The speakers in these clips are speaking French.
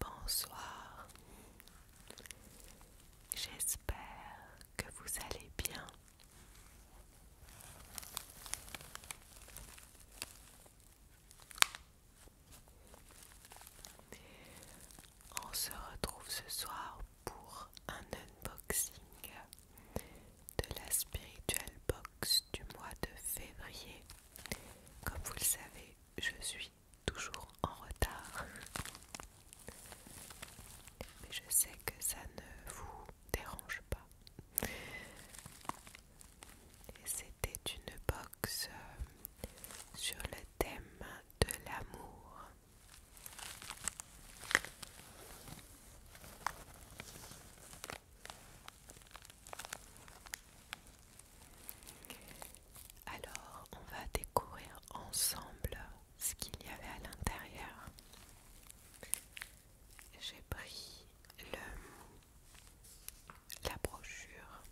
Bonsoir, j'espère que vous allez bien. On se retrouve ce soir pour un unboxing de la spirituelle Box du mois de février. Comme vous le savez, je suis toujours en retard. Mais je sais que ça ne vous dérange pas. et C'était une box euh, sur le thème de l'amour. Alors, on va découvrir ensemble ce qu'il y avait à l'intérieur. J'ai pris la brochure.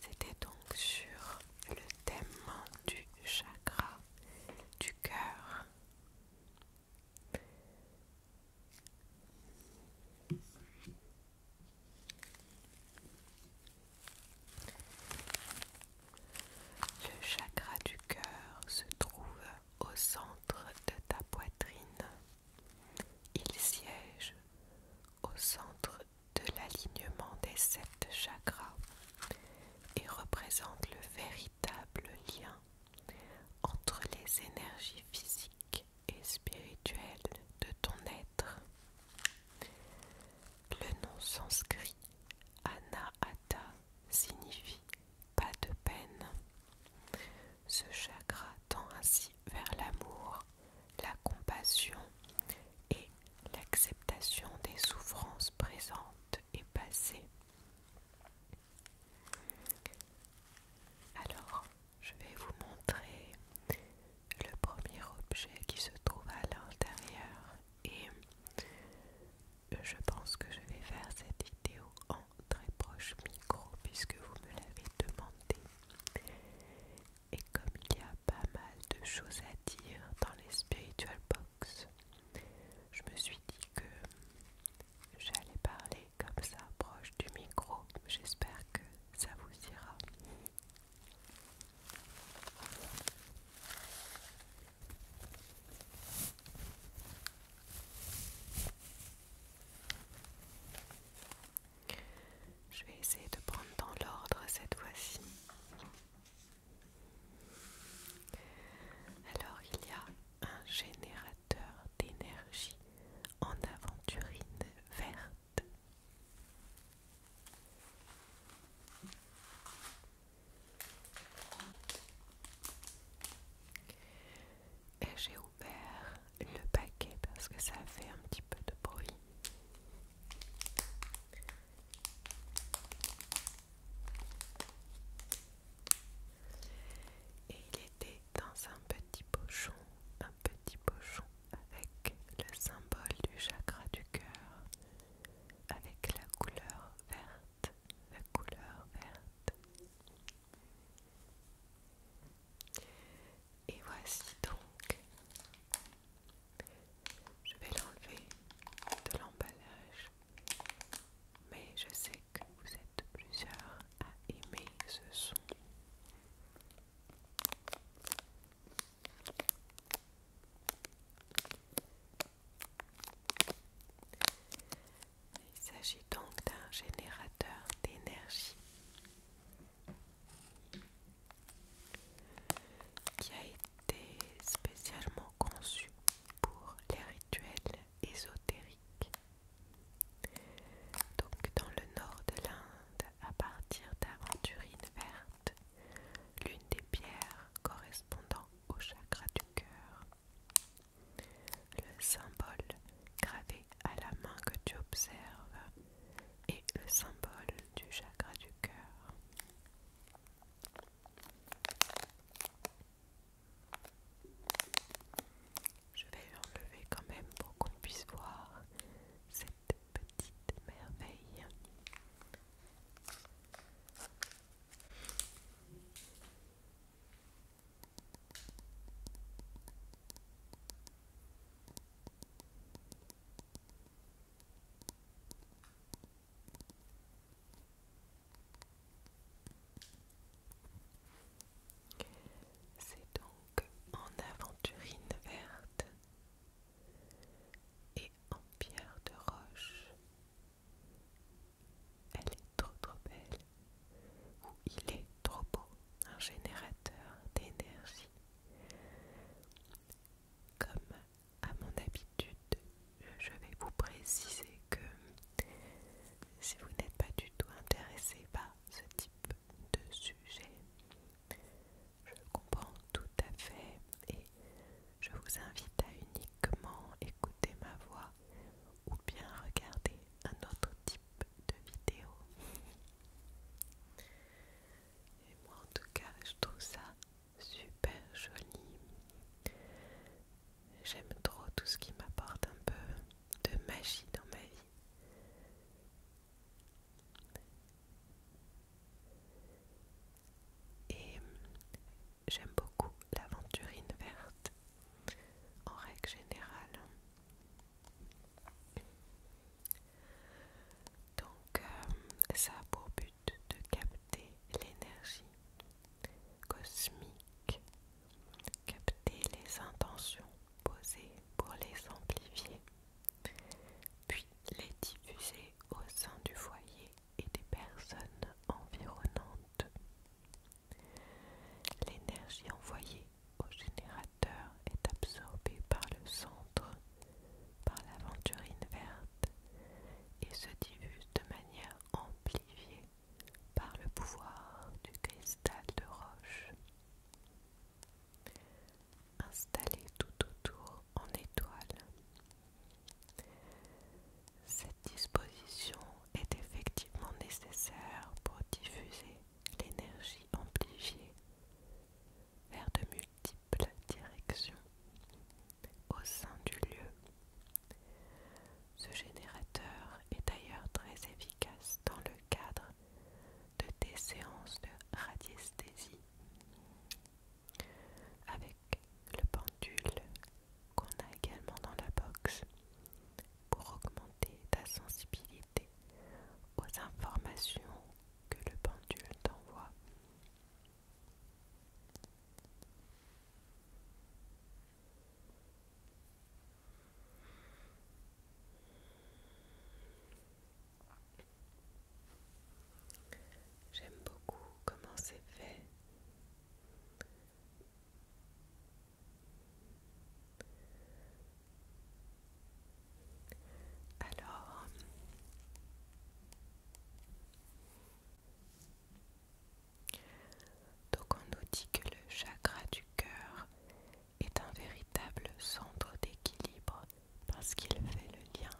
C'était donc sur le thème du chakra du cœur le chakra du cœur se trouve au centre de ta poitrine. Il siège au centre de l'alignement des sept chakras et représente le véritable véritable lien entre les énergies physiques et spirituelles de ton être. Le nom sanskrit Anahata signifie pas de peine. Ce chakra tend ainsi vers l'amour, la compassion et l'acceptation des souffrances présentes et passées. Alors, je vais vous montrer le premier objet qui se trouve à l'intérieur et je pense que je vais faire cette vidéo en très proche micro puisque vous me l'avez demandé. Et comme il y a pas mal de choses à dire dans les Spiritual Box, je me suis dit que j'allais parler comme ça proche du micro. J'espère que ça vous ira. Je vais essayer de prendre dans l'ordre cette fois-ci. Alors il y a un générateur d'énergie en aventurine verte. Et j'ai ouvert le paquet parce que ça fait un petit peu de bruit. Et il était dans un petit pochon, un petit pochon avec le symbole du chakra du cœur, avec la couleur verte, la couleur verte. Et voici donc, je vais l'enlever de l'emballage. Mais je sais que vous êtes plusieurs à aimer ce son. Il s'agit donc d'un générateur d'énergie qui a été spécialement conçu pour les rituels ésotérique. Donc dans le nord de l'Inde, à partir d'aventurines vertes, l'une des pierres correspondant au chakra du cœur. Le symbole gravé à la main que tu observes est le symbole du chakra du cœur. Je vais enlever quand même pour qu'on puisse voir cette petite merveille. C'est donc en aventurine verte et en pierre de roche. Elle est trop trop belle, ou il est trop beau, un générateur d'énergie. Comme à mon habitude, je vais vous préciser que si vous n'êtes pas du tout intéressé par ce type de sujet, je comprends tout à fait et je vous invite à uniquement écouter ma voix ou bien regarder un autre type de vidéo. Et moi en tout cas je trouve ça super joli J'aime trop tout ce qui m'apporte un peu de magie dans ma vie. Et j'aime beaucoup l'aventurine verte en règle générale. Donc euh, ça a pour but de capter l'énergie cosmique. capter les intentions posées pour les amplifier, puis les diffuser au sein du foyer et des personnes environnantes. L'énergie envoyée au générateur est absorbée par le centre, par l'aventurine verte, et se diffuse de manière amplifiée par le pouvoir du cristal de roche. Installé tout autour en étoile. Cette disposition est effectivement nécessaire pour diffuser l'énergie amplifiée vers de multiples directions au sein du lieu. Ce générateur est d'ailleurs très efficace dans le cadre de tes séances de radiesthésie avec le pendule qu'on a également dans la box pour augmenter ta sensibilité aux informations que le pendule t'envoie. J'aime beaucoup comment c'est fait. Alors, donc on nous dit que le chakra du cœur est un véritable centre d'équilibre parce qu'il fait le lien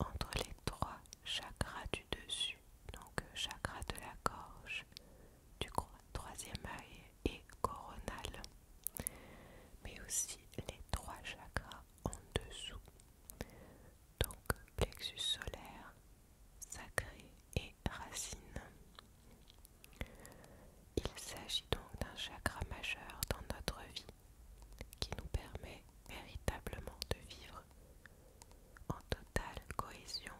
entre les trois chakras du dessus, donc euh, chakra de la gorge, du troisième œil et coronal, mais aussi les trois chakras en dessous, donc plexus solaire, sacré et racine. Il s'agit donc d'un chakra majeur dans notre vie qui nous permet véritablement de vivre en totale cohésion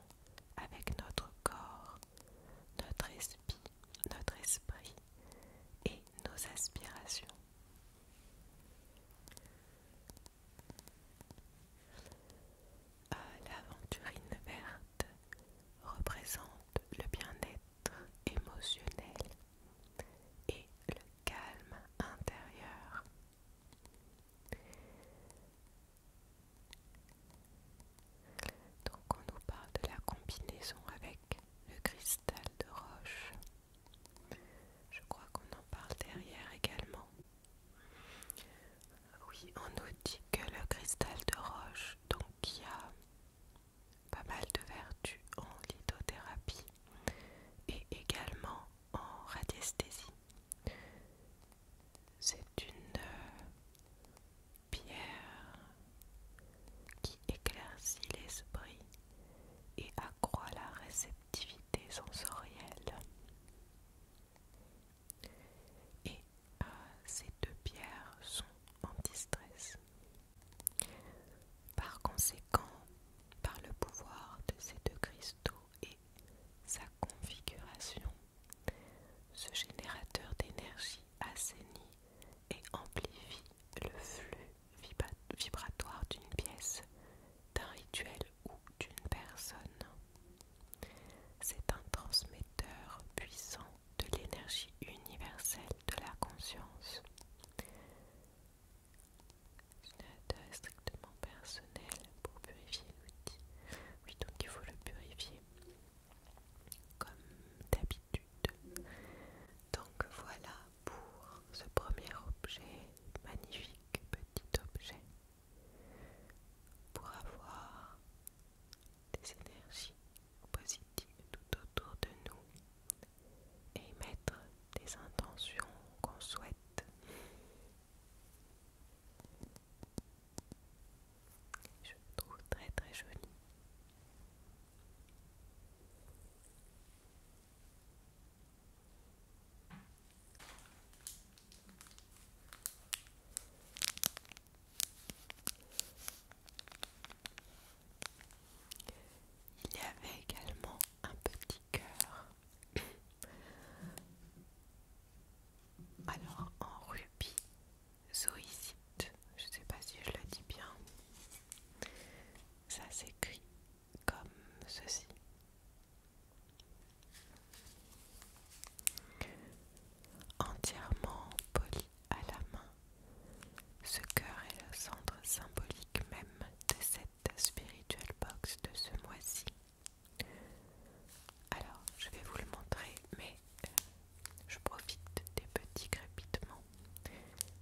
avec notre corps, notre esprit, notre esprit et nos aspirations. Ah, l'aventurine verte représente le bien-être émotionnel et le calme intérieur. Donc on nous parle de la combinaison avec le cristal de roche. Je crois qu'on en parle derrière également. Oui, on nous dit que le cristal de roche, donc y a pas mal de vertus en lithothérapie et également en radiesthésie, c'est une euh, pierre qui éclaircit l'esprit et accroît la réception sensorielle. Et euh, ces deux pierres sont en distress. Par conséquent, par le pouvoir de ces deux cristaux et sa configuration, ce générateur d'énergie assainit et amplifie le flux vibratoire d'une pièce d'un rituel ou d'une personne. C'est un transmetteur puissant de l'énergie universelle de la conscience. Une strictement personnel pour purifier l'outil. Oui, donc il faut le purifier comme d'habitude. Donc voilà pour ce premier objet, magnifique petit objet pour avoir des énergies positives tout autour de nous et mettre des intentions qu'on souhaite. Je trouve très très joli. Il y avait également un petit cœur. Alors en rubis zoïcite, je ne sais pas si je le dis bien. Ça s'écrit comme ceci. Entièrement poli à la main, ce cœur est le centre symbolique même de cette spiritual box de ce mois-ci. Alors, je vais vous le montrer, mais euh, je profite des petits crépitements,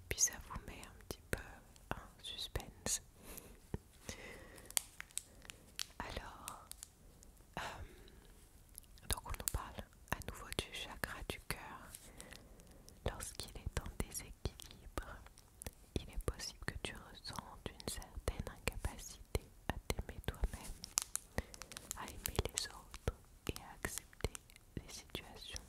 puis ça vous met un petit peu un suspense. Alors, euh, donc on nous parle à nouveau du chakra du cœur. Lorsqu'il est en déséquilibre, il est possible que tu ressentes une certaine incapacité à t'aimer toi-même, à aimer les autres et à accepter les situations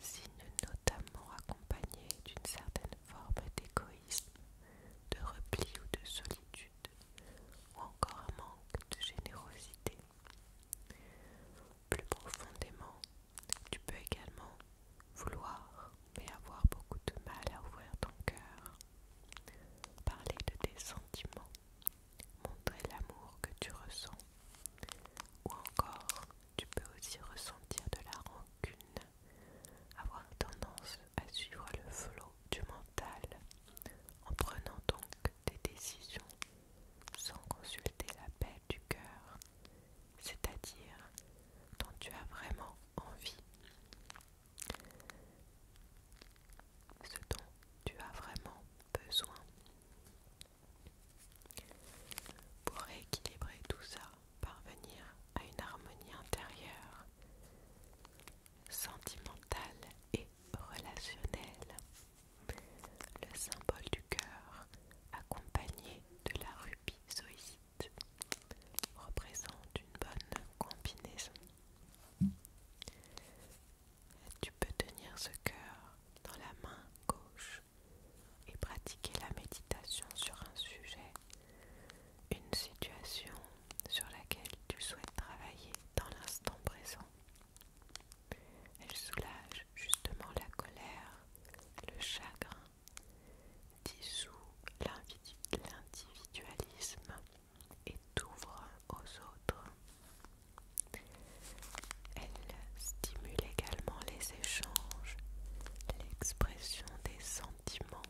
signe notamment accompagné d'une certaine forme d'égoïsme, de repli ou de solitude, ou encore un manque de générosité. Plus profondément, tu peux également vouloir, mais avoir beaucoup de mal à ouvrir ton cœur, parler de tes sentiments, montrer l'amour que tu ressens, ou encore tu peux aussi ressentir de la rancune avoir tendance à suivre le flot du mental en prenant donc des décisions sans consulter la paix du cœur, c'est-à-dire dont tu as vraiment envie. Ce dont tu as vraiment besoin. Pour rééquilibrer tout ça, parvenir à une harmonie intérieure, sentimentale et relationnelle. Le symbole du cœur, accompagné de la rubis représente une bonne combinaison. Tu peux tenir ce cœur dans la main gauche et pratiquer la méditation sur un sujet, une situation sur laquelle tu souhaites travailler dans l'instant présent. Elle soulage justement la colère, le chagrin, dissout l'individualisme et t'ouvre aux autres. Elle stimule également les change, l'expression des sentiments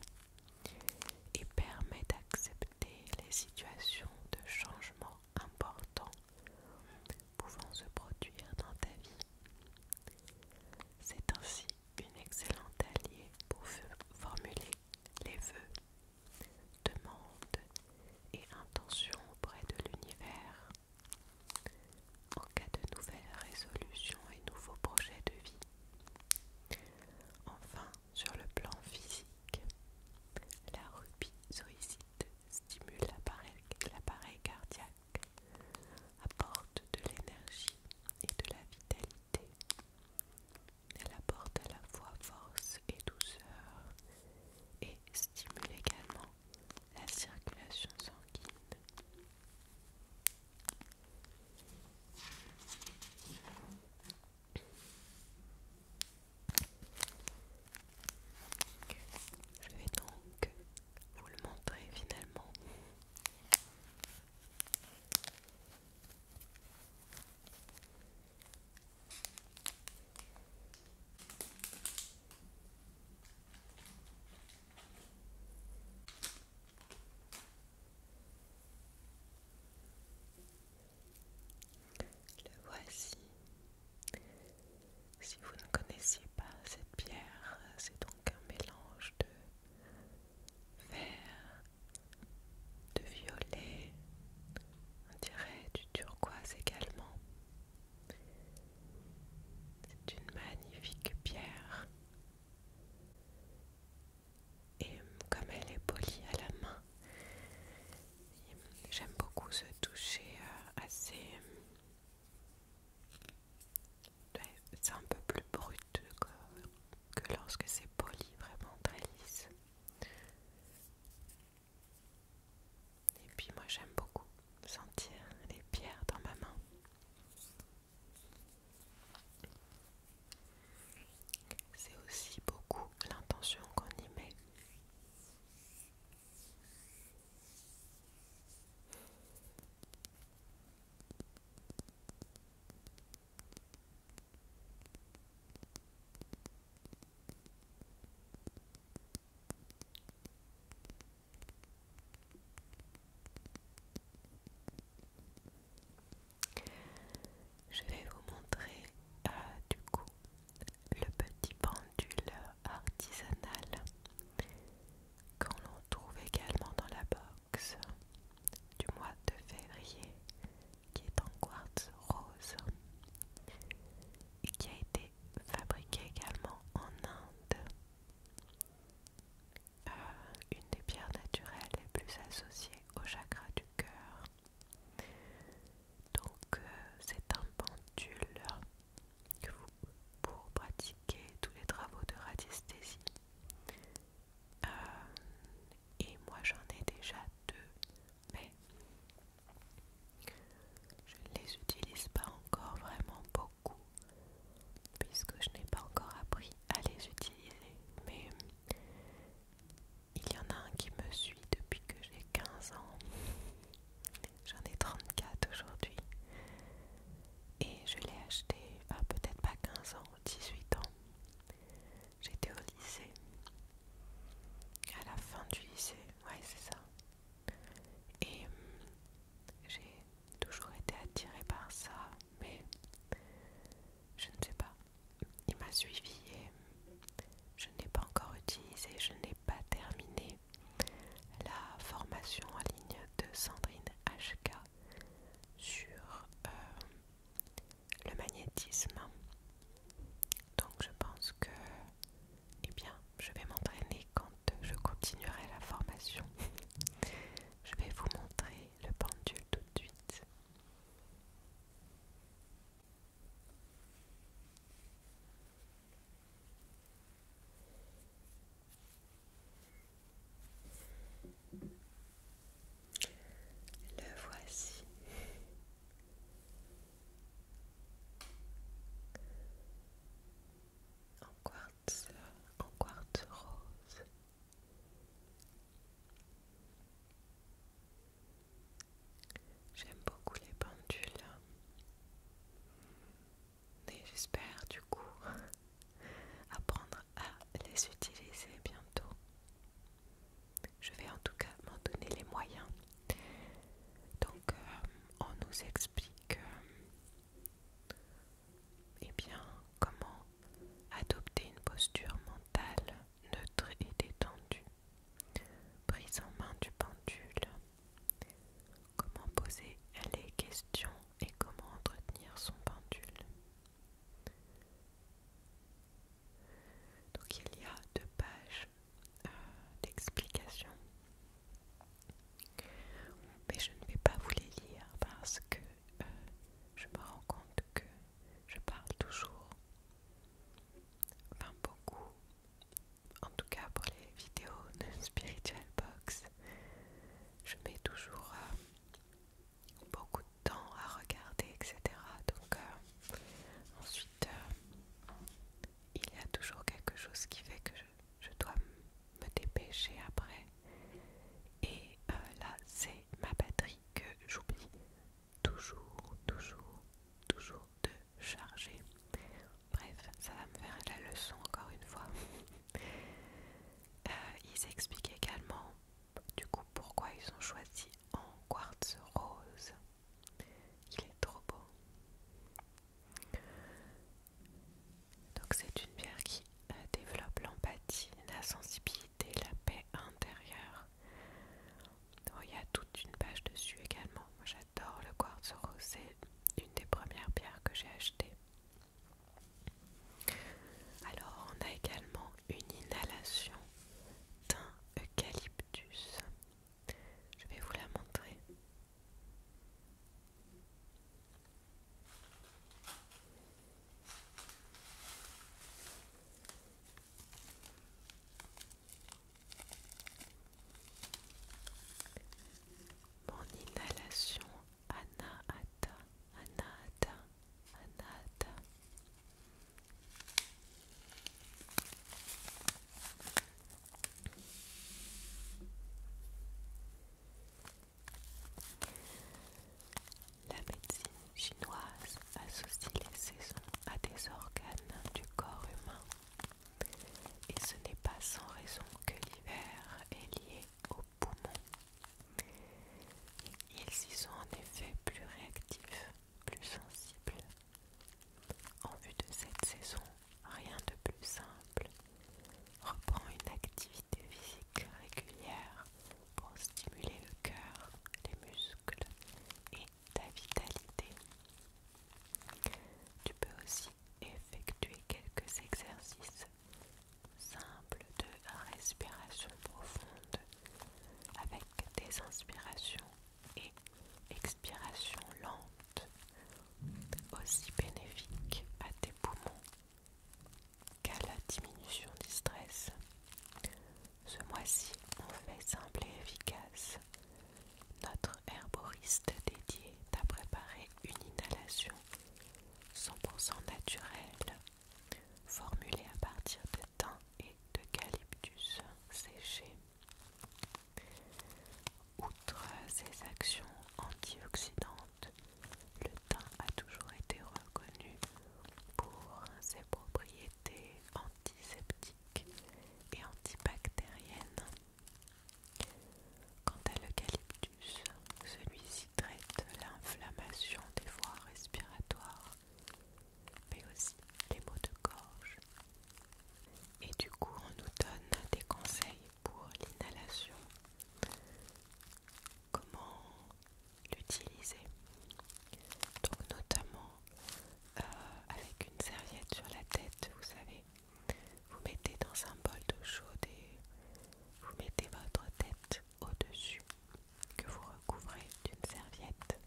et permet d'accepter les situations de changement importants pouvant se produire dans ta vie. C'est ainsi une excellente alliée pour formuler les vœux, demandes et intentions auprès de l'univers en cas de nouvelles résolutions et nouveaux projets de vie. Enfin, sur le plan physique, la rubiszoïcite stimule l'appareil cardiaque, apporte de l'énergie et de la vitalité. Elle apporte à la fois force et douceur et stimule également la circulation sanguine. Je vais donc vous le montrer finalement. Le voici. Si vous ne connaissiez pas cette pierre, c'est donc un mélange de vert, de violet, on dirait du turquoise également. C'est une magnifique pierre et hum, comme elle est polie à la main, hum, j'aime beaucoup ce toucher euh, assez... Hum, c'est un peu plus brut que, que lorsque c'est poli, vraiment très lisse. Et puis moi j'aime beaucoup sentir les pierres dans ma main. C'est aussi beaucoup l'intention qu'on y met. Je vais vous montrer euh, du coup le petit pendule artisanal qu'on l'on trouve également dans la box du mois de février qui est en quartz rose et qui a été fabriqué également en Inde. Euh, une des pierres naturelles les plus associées au chakra du cœur. Donc euh, c'est un pendule pour pratiquer tous les travaux de radiesthésie. Euh, et moi j'en ai déjà deux, mais je ne les utilise pas encore vraiment beaucoup puisque je n'ai pas encore appris à les utiliser. Mais il y en a un qui me suit depuis que j'ai 15 ans. J'en ai 34 aujourd'hui. Et je l'ai acheté à ah, peut-être pas 15 ans, 18 ans. J'étais au lycée. À la fin du lycée, ouais c'est ça. Et hum, j'ai toujours été attirée par ça, mais je ne sais pas. Il m'a suivi et je n'ai pas encore utilisé, je n'ai pas terminé la formation en ligne de Sandrine HK sur euh, le magnétisme. Donc je pense que eh bien, je vais m'entraîner quand je continuerai la formation. Je vais vous montrer le pendule tout de suite. Le voici. En en quartz rose. J'aime beaucoup les pendules. Et j'espère du coup apprendre à les utiliser bientôt. Je vais en tout cas m'en donner les moyens. Donc euh, on nous explique euh, et eh bien, comment adopter une posture mentale neutre et détendue Prise en main du pendule. Comment poser les questions et comment entretenir son pendule donc il y a deux pages euh, d'explications mais je ne vais pas vous les lire parce que euh, je me rends compte que je parle toujours, enfin beaucoup, en tout cas pour les vidéos de Spiritual Box, je mets toujours euh, beaucoup de temps à regarder, etc. Donc euh, ensuite, il y a toujours quelque chose qui fait que je dois me dépêcher après. Et euh, là, c'est ma batterie que j'oublie toujours, toujours, toujours de charger. Bref, ça va me faire la leçon encore une fois. Euh, ils expliquent également du coup pourquoi ils ont choisi en quartz rose. Il est trop beau. Donc c'est une pierre qui euh, développe l'empathie, la sensibilité, la paix intérieure. il y a toute une page dessus également. j'adore le quartz rose, c'est une des premières pierres que j'ai achetées. Alors on a également une inhalation d'un eucalyptus. Je vais vous la montrer. Mon inhalation anahata, anahata, anahata. La médecine chinoise associe les saisons à des organes du corps humain. Et ce n'est pas sans raison que l'hiver est lié aux poumons. Ils y sont en effet plus réactifs, plus sensibles. En vue de cette saison, rien de plus simple Reprends une activité physique régulière pour stimuler le cœur, les muscles et ta vitalité. Tu peux aussi effectuer quelques exercices simples de respiration profonde avec des inspirations et expirations lentes, aussi bénéfiques à tes poumons qu'à la diminution du stress. Ce mois-ci, on fait simple et efficace. Notre herboriste dédié à préparé une inhalation 100% naturelle, formulée à partir de thym et d'eucalyptus séchés. Outre ses actions antioxydantes, le thym a toujours été reconnu pour ses propriétés antiseptiques et antibactériennes. Quant à l'eucalyptus, celui-ci traite l'inflammation des voies respiratoires, mais aussi les maux de gorge. Et du coup, on nous donne des conseils pour l'inhalation, comment l'utiliser. Donc notamment euh, avec une serviette sur la tête, vous savez, vous mettez dans un bol d'eau chaude et vous mettez votre tête au-dessus que vous recouvrez d'une serviette.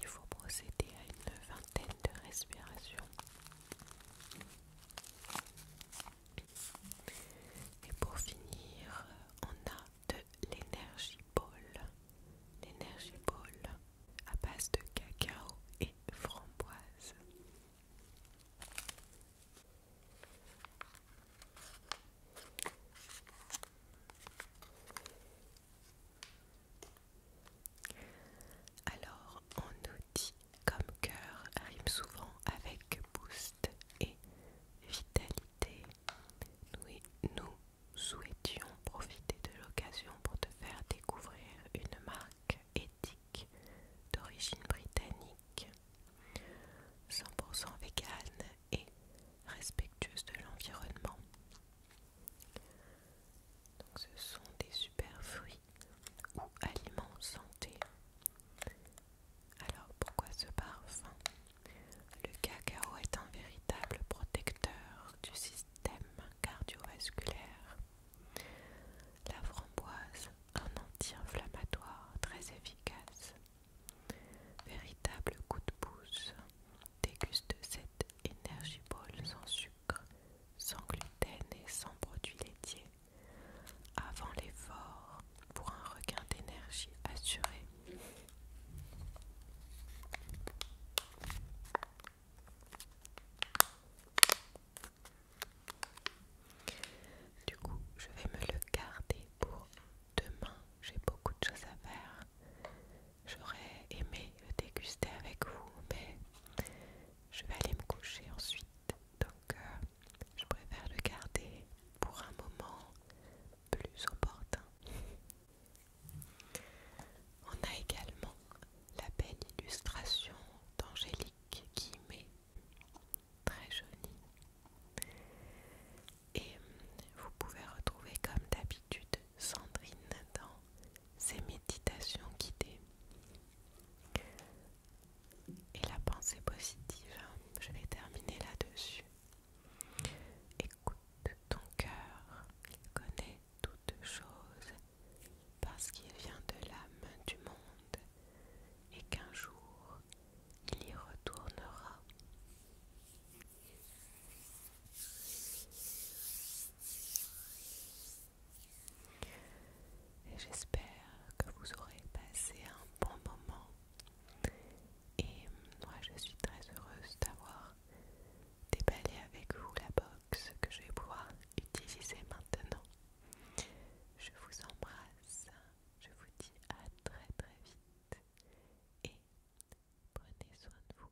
Il faut procéder à une vingtaine de respirations. Et pour finir, on a de l'énergie ball. L'énergie ball à base de cacao et framboise. Alors, on nous dit comme cœur rime souvent avec boost et vitalité. Nous, nous souhaitions profiter de l'occasion pour te faire découvrir une marque éthique d'origine britannique, 100% végane et respectueuse de l'environnement. Donc ce sont des super fruits ou aliments santé. Alors pourquoi ce parfum Le cacao est un véritable protecteur du système cardiovasculaire. La framboise, un anti-inflammatoire très efficace. Véritable coup de pouce, déguste cette énergie ball sucre sans gluten et sans produits laitiers, avant l'effort pour un regain d'énergie assuré. Du coup, je vais me le garder pour demain. J'ai beaucoup de choses à faire. J'aurais aimé le déguster avec vous, mais je vais aller me coucher ensuite, donc euh, je préfère le garder pour un moment plus opportun. On a également la belle illustration d'Angélique Guimet, très jolie. Et vous pouvez retrouver comme d'habitude Sandrine dans ces méditations guidées et la pensée positive. Hein, je vais terminer là-dessus. Écoute ton cœur, il connaît toutes choses parce qu'il vient de l'âme du monde et qu'un jour il y retournera j'espère que vous aurez passé un bon moment. Et moi, je suis très heureuse d'avoir déballé avec vous la box que je vais pouvoir utiliser maintenant. Je vous embrasse, je vous dis à très très vite et prenez soin de vous.